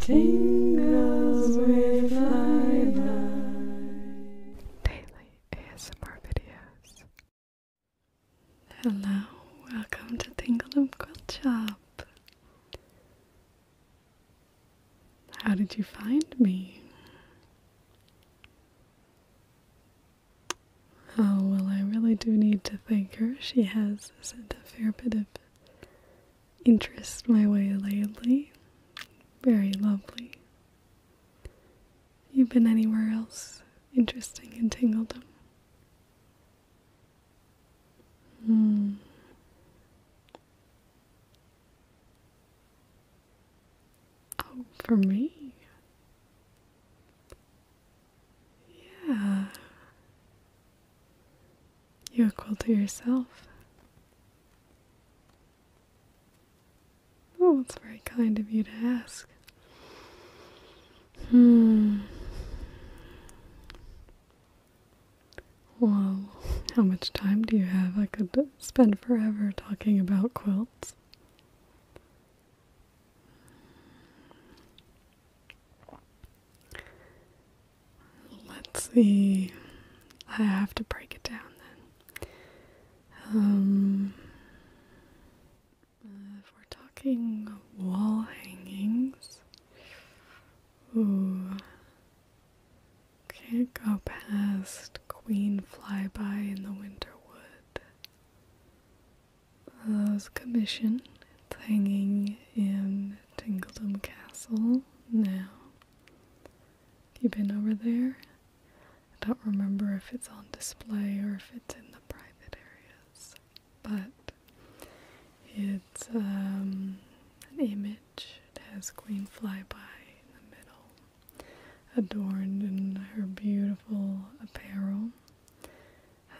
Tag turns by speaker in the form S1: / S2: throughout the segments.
S1: Daily ASMR videos. Hello, welcome to Tingle and Quilt How did you find me? Oh, well, I really do need to thank her. She has sent a fair bit of interest my way lately. Very lovely. You been anywhere else interesting in Tingledom? Hmm. Oh, for me? Yeah. You're equal to yourself. Oh, it's very kind of you to ask. Hmm. Well, how much time do you have? I could spend forever talking about quilts. Let's see. I have to break it down then. Um, if we're talking wall hangings, ooh, can't go past Queen Flyby in the Winter Winterwood. Those commission. hanging in Tingledom Castle now. Have you been over there? I don't remember if it's on display or if it's in the private areas, but it's um, an image. It has Queen Flyby in the middle, adorned in her beautiful apparel,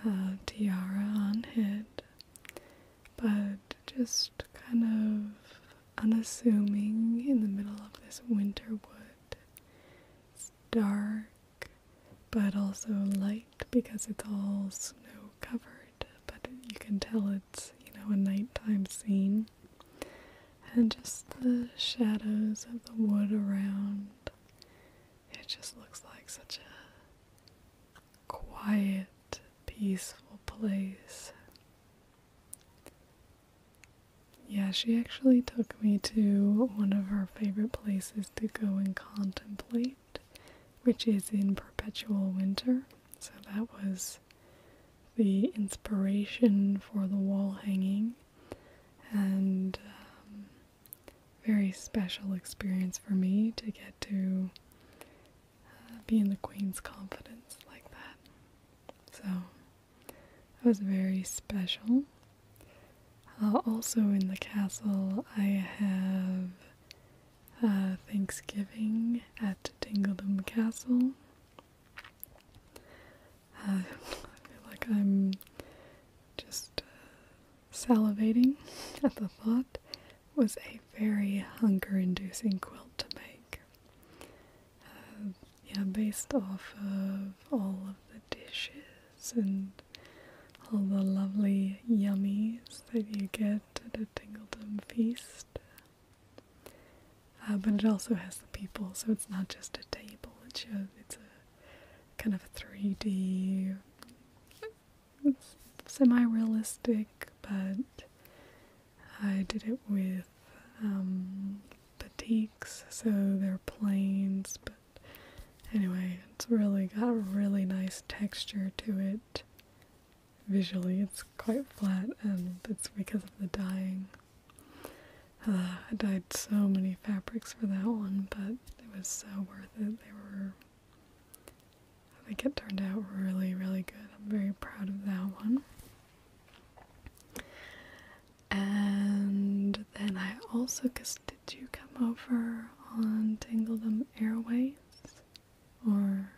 S1: uh, tiara on head, but just kind of unassuming in the middle of this winter wood. It's dark but also light because it's all snow covered, but you can tell it's, you know, a nighttime scene. And just the shadows of the wood around. It just looks like such a quiet peaceful place. Yeah, she actually took me to one of her favorite places to go and contemplate, which is in perpetual winter. So that was the inspiration for the wall hanging and um, very special experience for me to get to uh, be in the Queen's confidence like that. So that was very special. Uh, also in the castle, I have uh, Thanksgiving at Dingledom Castle. Uh, I feel like I'm just salivating at the thought was a very hunger inducing quilt to make. Um, yeah, based off of all of the dishes and all the lovely yummies that you get at a Tingledom feast. Uh, but it also has the people, so it's not just a table. It's a, it's a kind of a 3D it's semi-realistic, but I did it with um, batiks, so they're planes, but anyway, it's really got a really nice texture to it. Visually, it's quite flat, and it's because of the dyeing. Uh, I dyed so many fabrics for that one, but it was so worth it. They were I think it turned out really, really good. I'm very proud of that one. And then I also, because did you come over on Tingledom Airways? Or,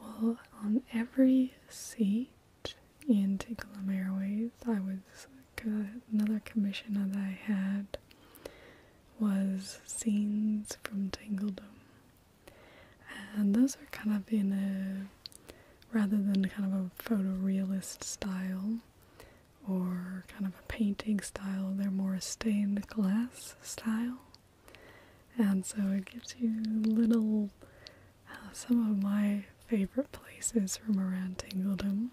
S1: well, on every seat in Tingledom Airways, I was, uh, another commissioner that I had was scenes from Tangledom. And those are kind of in a, rather than kind of a photorealist style or kind of a painting style, they're more stained glass style. And so it gives you little, uh, some of my favorite places from around Tangledom.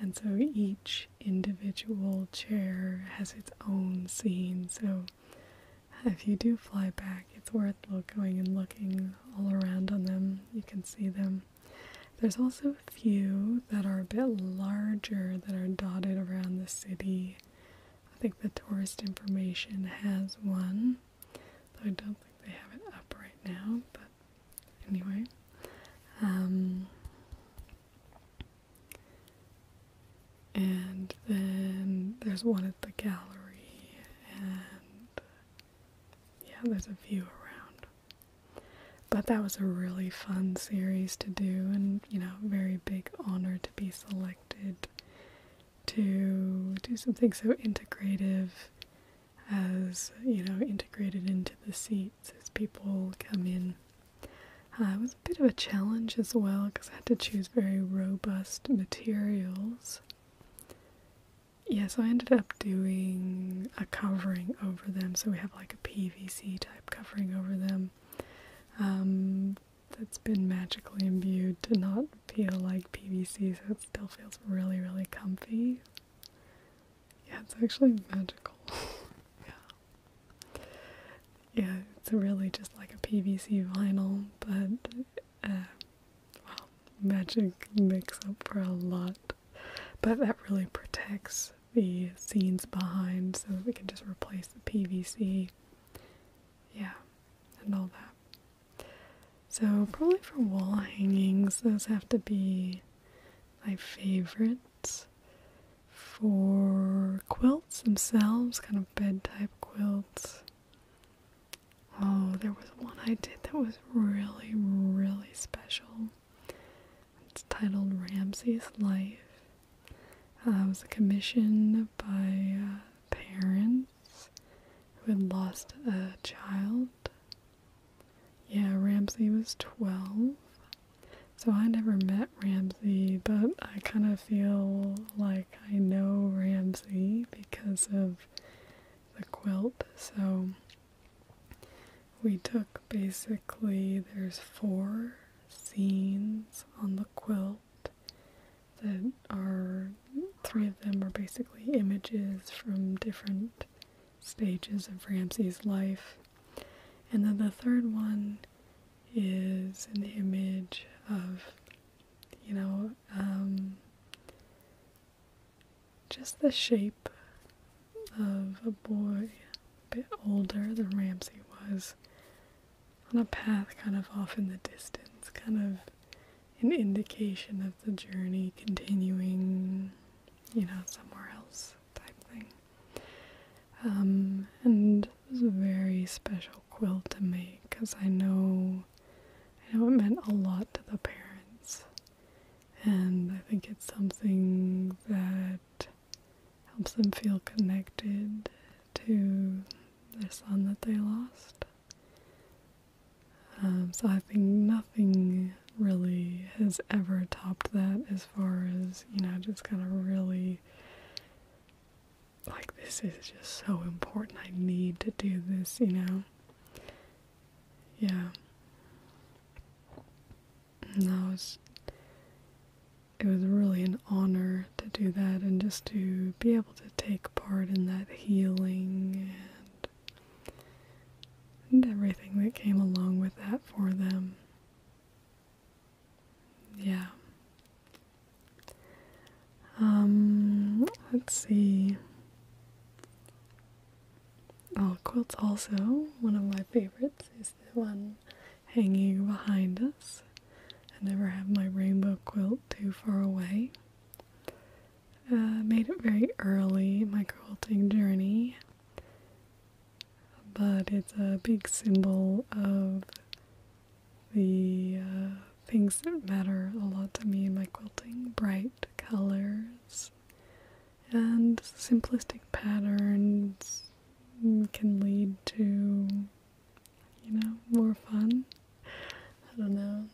S1: And so each individual chair has its own scene. So if you do fly back, it's worth going and looking all around on them. You can see them. There's also a few that are a bit larger that are dotted around the city. I think the tourist information has one, though I don't think they have it up right now, but anyway. Um, and then there's one at the gallery, and yeah, there's a few around. But that was a really fun series to do, and you know, very big honor to be selected to do something so integrative as you know, integrated into the seat. So as people come in. Uh, it was a bit of a challenge as well because I had to choose very robust materials. Yeah, so I ended up doing a covering over them. So we have like a PVC type covering over them um, that's been magically imbued to not feel like PVC, so it still feels really, really comfy. Yeah, it's actually magical. yeah yeah, it's really just like a PVC vinyl, but uh, well, magic makes up for a lot. But that really protects the scenes behind, so we can just replace the PVC, yeah, and all that. So probably for wall hangings, those have to be my favorite for quilts themselves, kind of bed type quilts. Oh, there was one I did that was really, really special. It's titled Ramsey's Life. Uh, it was commissioned by uh, parents who had lost a child. Yeah, Ramsey was 12. So I never met Ramsey, but I kind of feel like I know Ramsey because of the quilt. So we took basically, there's four scenes on the quilt that are, three of them are basically images from different stages of Ramsey's life. And then the third one is an image of, you know, um, just the shape of a boy, a bit older than Ramsey was, on a path kind of off in the distance, kind of an indication of the journey continuing, you know, somewhere else type thing. Um, and it was a very special quilt to make because I know I know it meant a lot to the parents, and I think it's something that helps them feel connected to their son that they lost. Um, so I think nothing really has ever topped that as far as, you know, just kind of really like this is just so important. I need to do this, you know. Yeah. No, was it was really an honor to do that and just to be able to take part in that healing and and everything that came along with that for them. Yeah. Um, let's see. Oh, quilts also, one of my favorites is the one hanging behind us. I never have my rainbow quilt too far away. Uh, made it very early my quilting journey but it's a big symbol of the uh, things that matter a lot to me in my quilting bright colors and simplistic patterns can lead to you know more fun i don't know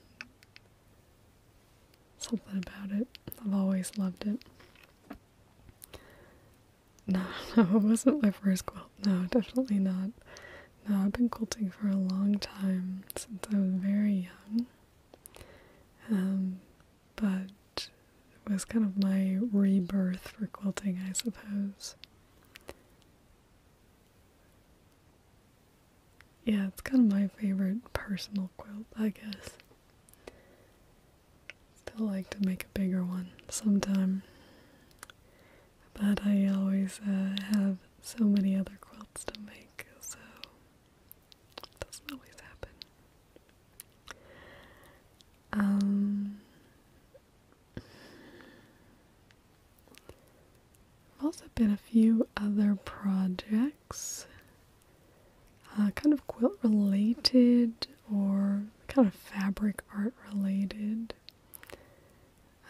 S1: something about it i've always loved it no, no, it wasn't my first quilt. No, definitely not. No, I've been quilting for a long time since I was very young. Um, but it was kind of my rebirth for quilting, I suppose. Yeah, it's kind of my favorite personal quilt, I guess. Still like to make a bigger one sometime. But I always uh, have so many other quilts to make, so doesn't always happen. Um, I've also been a few other projects, uh, kind of quilt related or kind of fabric art related.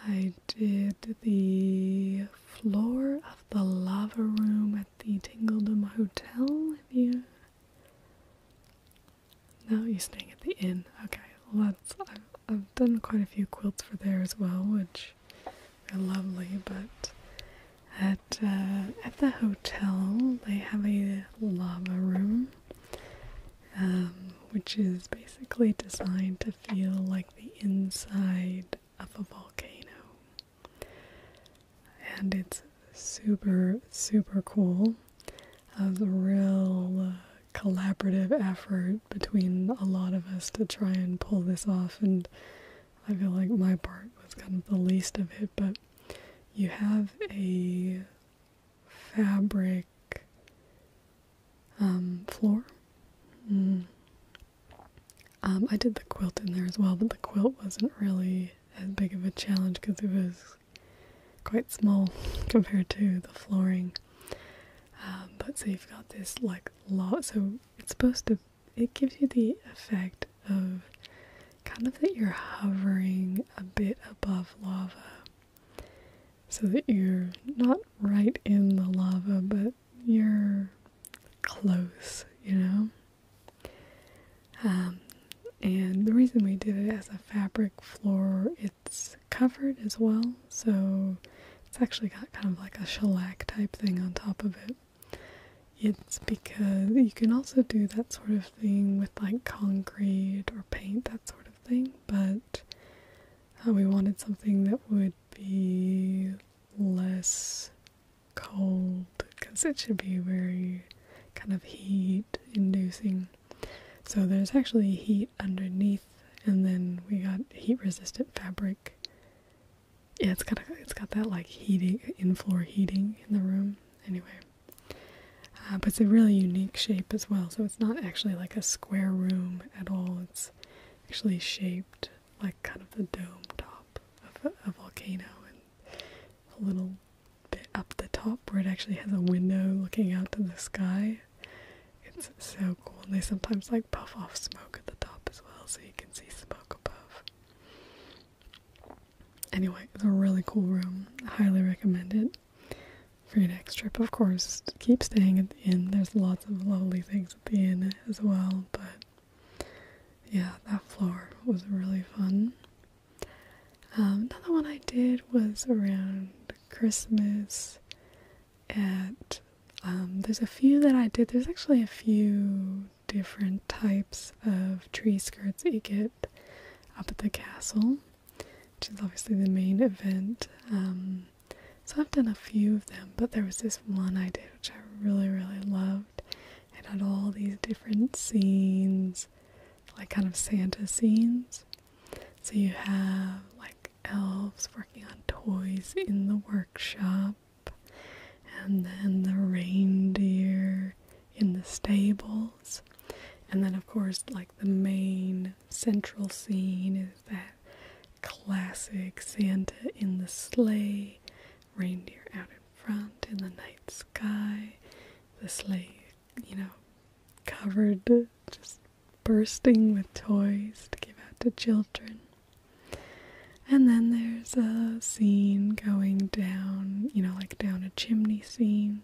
S1: I did the floor of the lava room at the Tingledom Hotel. If you no, you're staying at the inn. Okay, let's. I've, done quite a few quilts for there as well, which are lovely. But at uh, at the hotel, they have a lava room, um, which is basically designed to feel like the inside of a volcano. And it's super, super cool. Uh, it a real uh, collaborative effort between a lot of us to try and pull this off, and I feel like my part was kind of the least of it, but you have a fabric um, floor. Mm. Um, I did the quilt in there as well, but the quilt wasn't really as big of a challenge because it was quite small compared to the flooring. Um, but so you've got this like lava. so it's supposed to, it gives you the effect of kind of that you're hovering a bit above lava so that you're not right in the lava, but you're close, you know? Um, and the reason we did it as a fabric floor, it's covered as well, so it's actually got kind of like a shellac type thing on top of it. It's because you can also do that sort of thing with like concrete or paint. That's sort of thing, but we wanted something that would be less cold because it should be very kind of heat inducing. So there's actually heat underneath, and then we got heat resistant fabric. Yeah, it's got it's got that like heating in floor heating in the room. Anyway, uh, but it's a really unique shape as well. So it's not actually like a square room at all. It's actually shaped like kind of the dome top of a, volcano and a little bit up the top where it actually has a window looking out to the sky. It's so cool. And they sometimes like puff off smoke at the top as well so you can see smoke above. Anyway, it's a really cool room. highly recommend it for your next trip. Of course, keep staying at the inn. There's lots of lovely things at the inn as well, but yeah, that floor was really fun. Um, another one I did was around Christmas at um, there's a few that I did. There's actually a few different types of tree skirts that you get up at the castle which is obviously the main event. Um, so I've done a few of them, but there was this one I did which I really, really loved. It had all these different scenes, like kind of Santa scenes. So you have like elves working on toys in the workshop, and then the reindeer in the stables, and then, of course, like the main central scene is that classic Santa in the sleigh, reindeer out in front in the night sky, the sleigh, you know, covered, just bursting with toys to give out to children. And then there's a scene going down, you know, like down a chimney scene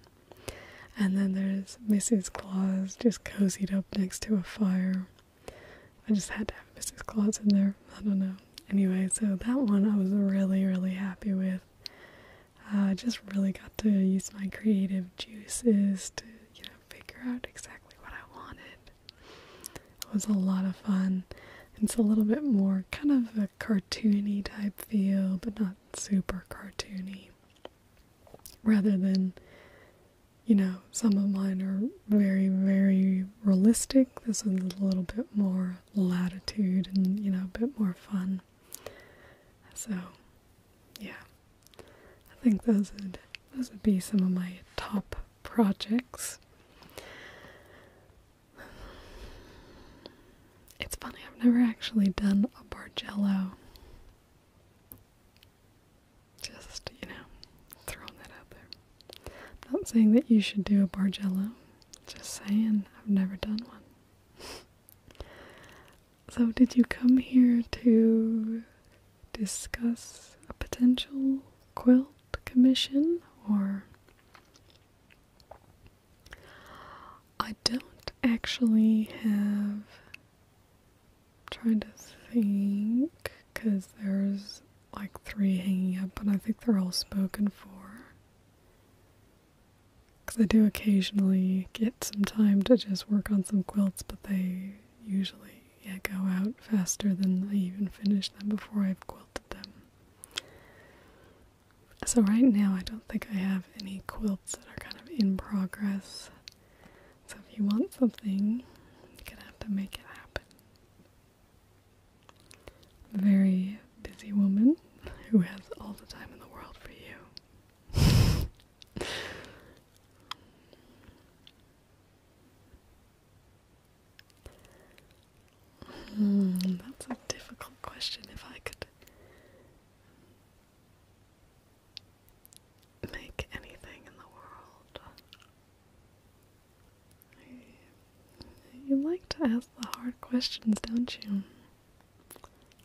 S1: and then there's Mrs. Claus just cozied up next to a fire. I just had to have Mrs. Claus in there. I don't know. Anyway, so that one I was really, really happy with. I just really got to use my creative juices to, you know, figure out exactly what I wanted. It was a lot of fun. It's a little bit more kind of a cartoony type feel, but not super cartoony rather than you know some of mine are very very realistic this is a little bit more latitude and you know a bit more fun so yeah i think those would those would be some of my top projects it's funny, I've never actually done a Bargello. Just, you know, throwing that out there. I'm not saying that you should do a Bargello, just saying I've never done one. so, did you come here to discuss a potential quilt commission or I don't actually have. trying to think, because there's like three hanging up, but I think they're all spoken for. Because I do occasionally get some time to just work on some quilts, but they usually yeah, go out faster than I even finish them before I've quilted them. So, right now, I don't think I have any quilts that are kind of in progress. So if you want something, you're gonna have to make it happen. very busy woman who has all the time in the world for you. Hmm, that's a difficult question. If I could make anything in the world. You like to ask the hard questions, don't you?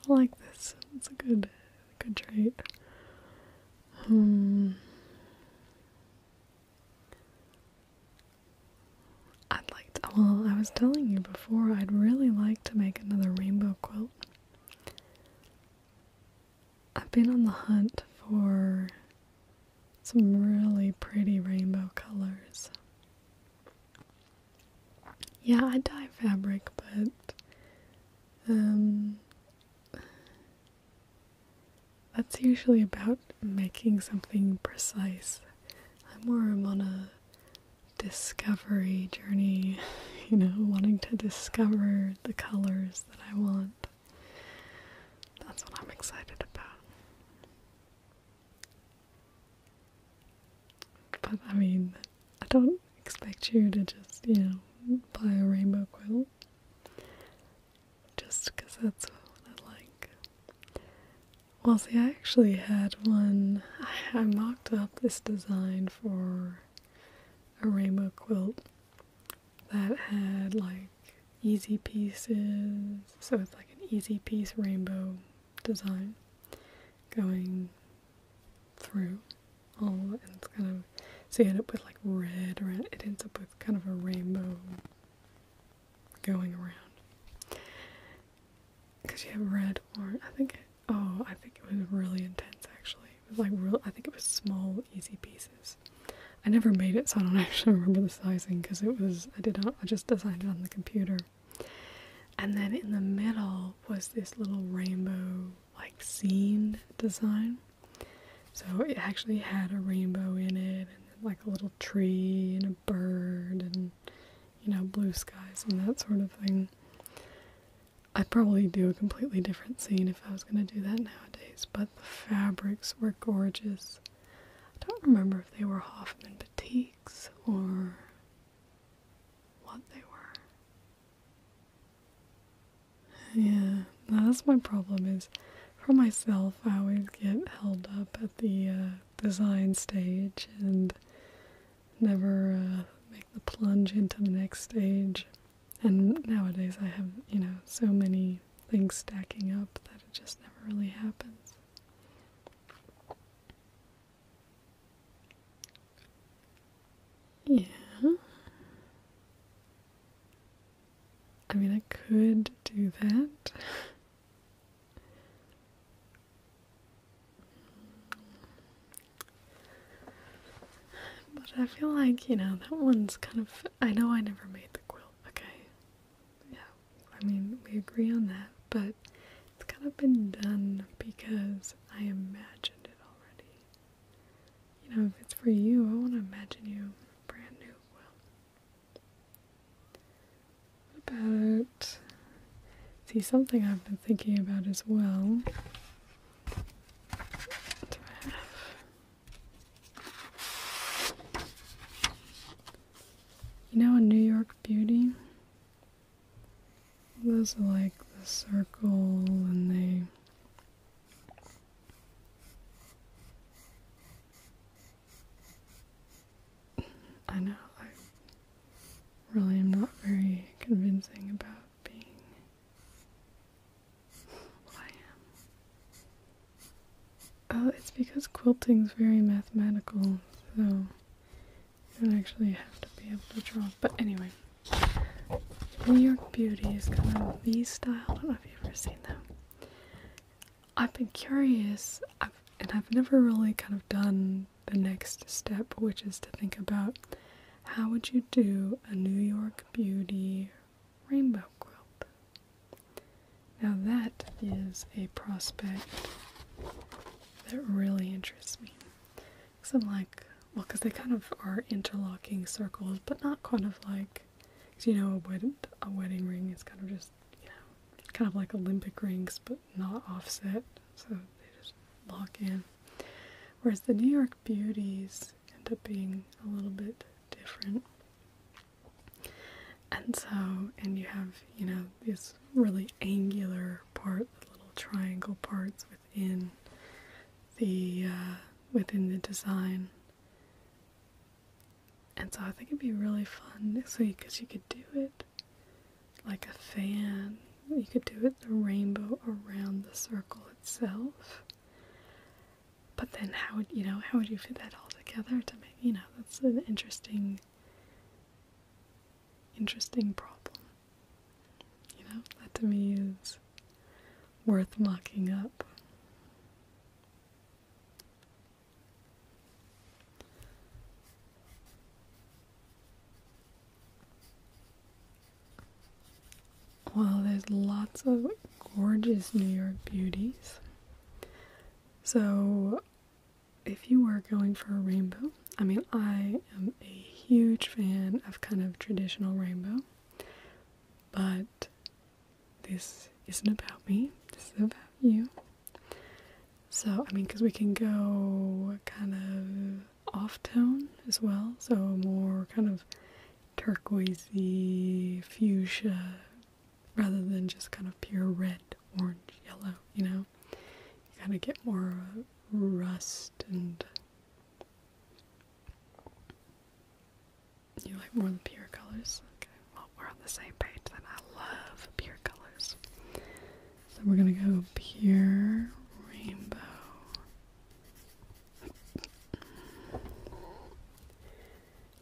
S1: I like this. It's a good, good trait. Hmm. I'd like to. Well, I was telling you before. I'd really like to make another rainbow quilt. I've been on the hunt for some really pretty rainbow colors. Yeah, I dye fabric, but um, that's usually about making something precise. I'm more on a discovery journey, you know, wanting to discover the colors that I want. That's what I'm excited about. But I mean, I don't expect you to just, you know, buy a rainbow quilt just because that's what I like. Well, see, I actually had one, I, I mocked up this design for a rainbow quilt that had like easy pieces, so it's like an easy piece rainbow design going through all and it's kind of so you end up with like red around it ends up with kind of a rainbow going around because you have red or I think Oh, I think it was really intense actually. It was like real I think it was small, easy pieces. I never made it so I don't actually remember the sizing because it was I did not I just designed it on the computer. And then in the middle was this little rainbow like scene design. So it actually had a rainbow in it and like a little tree and a bird and you know blue skies and that sort of thing. I'd probably do a completely different scene if I was going to do that nowadays, but the fabrics were gorgeous. I don't remember if they were Hoffman Batiks or what they were. Yeah, that's my problem is for myself I always get held up at the uh, design stage and never uh, make the plunge into the next stage. And nowadays I have, you know, so many things stacking up that it just never really happens. Yeah. I mean, I could do that. But I feel like, you know, that one's kind of. I know I never made the quilt, okay? Yeah, I mean, we agree on that, but it's kind of been done because I imagined it already. You know, if it's for you, I want to imagine you brand new quilt. about. See, something I've been thinking about as well you know a New York beauty? Those are like the circle and they I know I really am not very convincing about being I am. Uh, it's because quilting is very mathematical, so you don't actually have to be able to draw. But anyway, New York Beauty is kind of the style. I don't know if you've ever seen them. I've been curious, and I've never really kind of done the next step, which is to think about how would you do a New York Beauty rainbow quilt? Now that is a prospect that really interests me. Because I'm like, well, because they kind of are interlocking circles, but not kind of like, you know, a, wed- a wedding ring is kind of just, you know, kind of like Olympic rings, but not offset. So they just lock in. Whereas the New York beauties end up being a little bit different. And so, and you have, you know, this really angular part, the little triangle parts within the uh, within the design. And so I think it'd be really fun, week because you could do it like a fan you could do it the rainbow around the circle itself. But then how would you know how would you fit that all together to make you know that's an interesting interesting problem. You know, that to me is worth mocking up. Well, there's lots of gorgeous New York beauties. So, if you were going for a rainbow, I mean, I am a huge fan of kind of traditional rainbow, but this isn't about me, this is about you. So, I mean, because we can go kind of off tone as well, so more kind of turquoisey fuchsia rather than just kind of pure red, orange, yellow, you know. You kind of get more rust and you like more the pure colors. Okay, well, we're on the same page then. I love pure colors. So we're gonna go pure rainbow.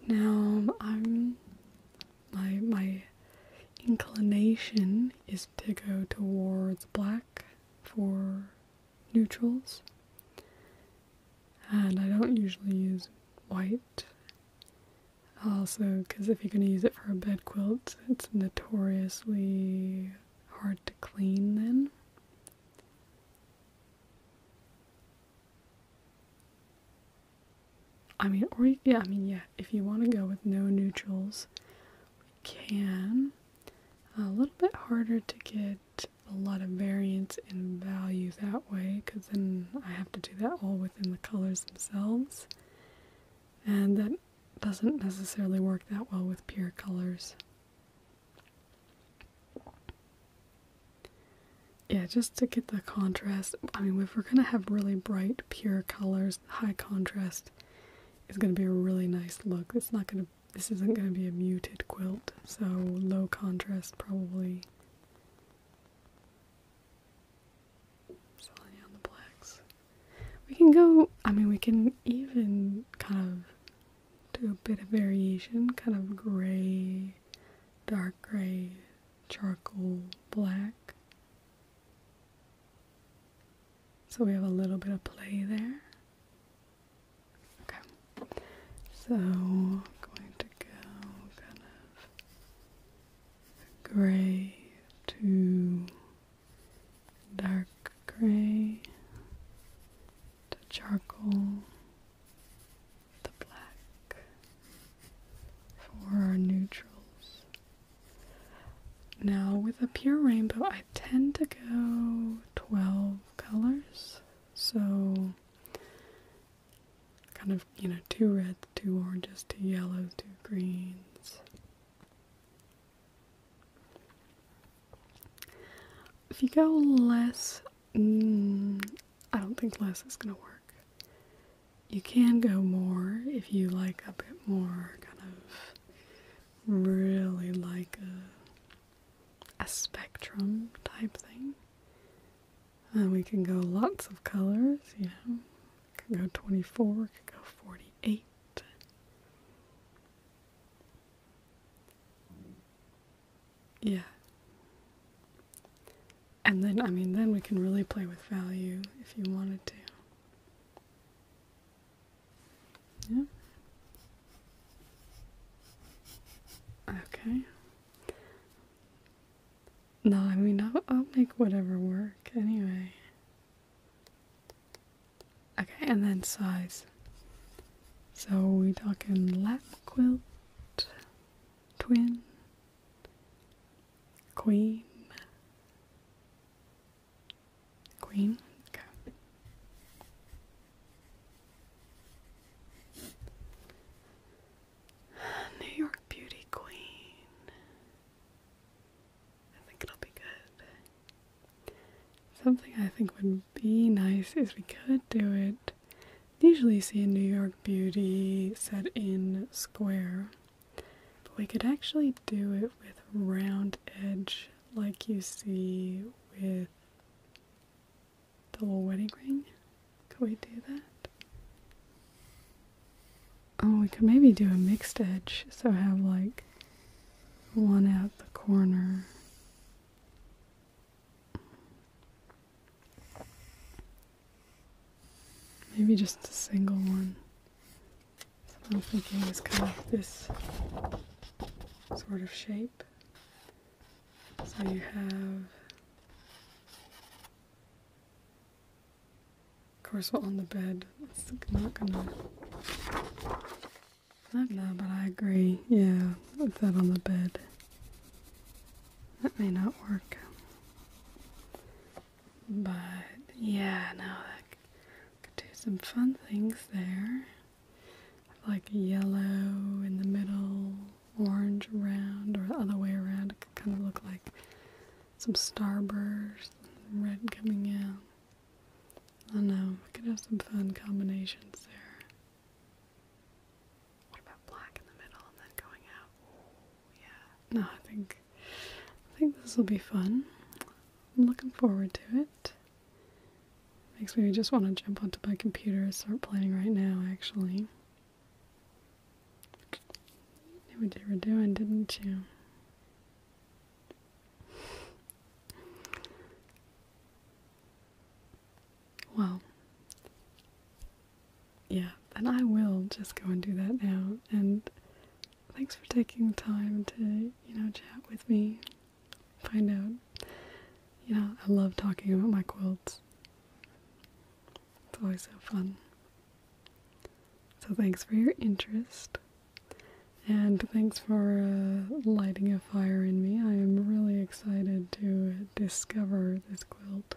S1: Now I'm my my inclination is to go towards black for neutrals. And I don't usually use white. Also, because if you're going to use it for a bed quilt, it's notoriously hard to clean then. I mean, or yeah, I mean, yeah, if you want to go with no neutrals, we can. A little bit harder to get a lot of variance in value that way, because then I have to do that all within the colors themselves. And that doesn't necessarily work that well with pure colors. Yeah, just to get the contrast. I mean, if we're going to have really bright, pure colors, high contrast is going to be a really nice look. It's not going to this isn't going to be a muted quilt, so low contrast probably. on the blacks. We can go, I mean, we can even kind of do a bit of variation, kind of gray, dark gray, charcoal, black. So we have a little bit of play there. Okay, so I'm going to go kind of gray to dark gray to charcoal the black for our neutrals. Now with a pure rainbow I tend to go 12 colors so kind of you know two reds two oranges two yellows two greens if you go less, mm, I don't think less is going to work. You can go more if you like a bit more, kind of really like a, spectrum type thing. Uh, we can go lots of colors, you know. Can go 24, Can go 48. Yeah. And then, I mean, then we can really play with value if you wanted to. Yeah. Okay. No, I mean, I'll, I'll make whatever work anyway. Okay, and then size. So we talking lap quilt, twin, queen, queen. Okay. New York Beauty Queen. I think it'll be good. Something I think would be nice is we could do it. Usually see a New York beauty set in square, but we could actually do it with round edge like you see with the little wedding ring. Could we do that? Oh, we could maybe do a mixed edge, so have like one at the corner. Maybe just a single one. So I'm thinking is kind of this sort of shape. So you have, of course, on the bed. It's not gonna I don't know, but I agree. Yeah, with that on the bed. That may not work. But yeah, no, that could do some fun things there. Like yellow in the middle, orange around, or the other way around. It could kind of look like some starburst, red coming out. I don't know, we could have some fun combinations there. What about black in the middle and then going out? yeah. No, I think I think this will be fun. I'm looking forward to it. Makes me just want to jump onto my computer and start playing right now, actually. You knew you were doing, didn't you? Well, yeah, then I will just go and do that now. And thanks for taking the time to, you know, chat with me, find out. You know, I love talking about my quilts. It's always so fun. So, thanks for your interest. And thanks for uh, lighting a fire in me. I am really excited to discover this quilt.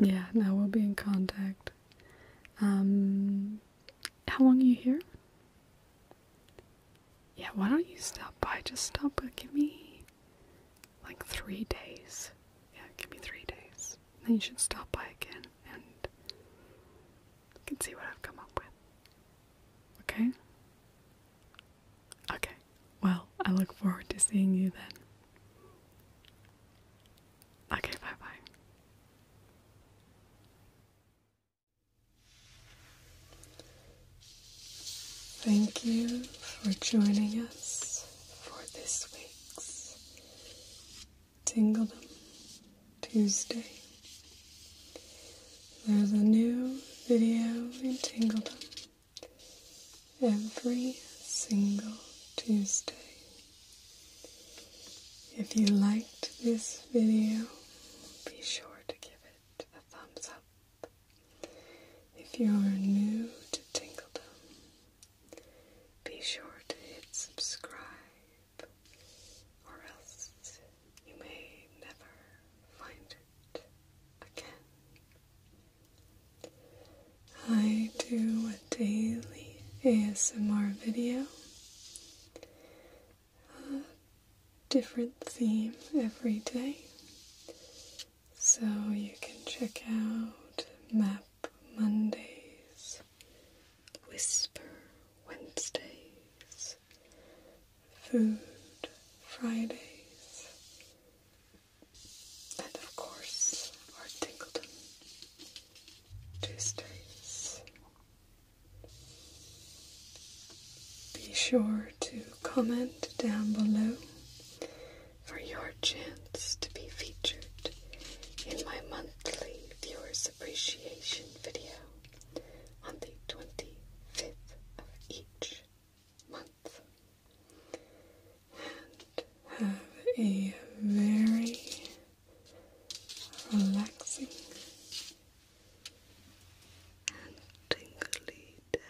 S1: Yeah, now we'll be in contact. Um, how long are you here? Yeah, why don't you stop by? Just stop, but uh, give me like three days. Yeah, give me three days then you should stop by again and can see what I've come up with. Okay? Okay. Well, I look forward to seeing you then. Okay, bye bye. Thank you for joining us for this week's Tingledom Tuesday. There's a new video in Tingledom every single Tuesday. If you liked this video, be sure to give it a thumbs up. If you're new to Tingledom, be sure to hit subscribe, or else you may never find it again. I do a daily ASMR video, a different theme every day, so you can check out Map Mondays Whisper Wednesdays, Food Fridays, and of course our Tingleton Tuesdays. Be sure to comment down below for your chance to be featured in my monthly viewers appreciation video on the 25th of each month. And have a very relaxing and tingly day.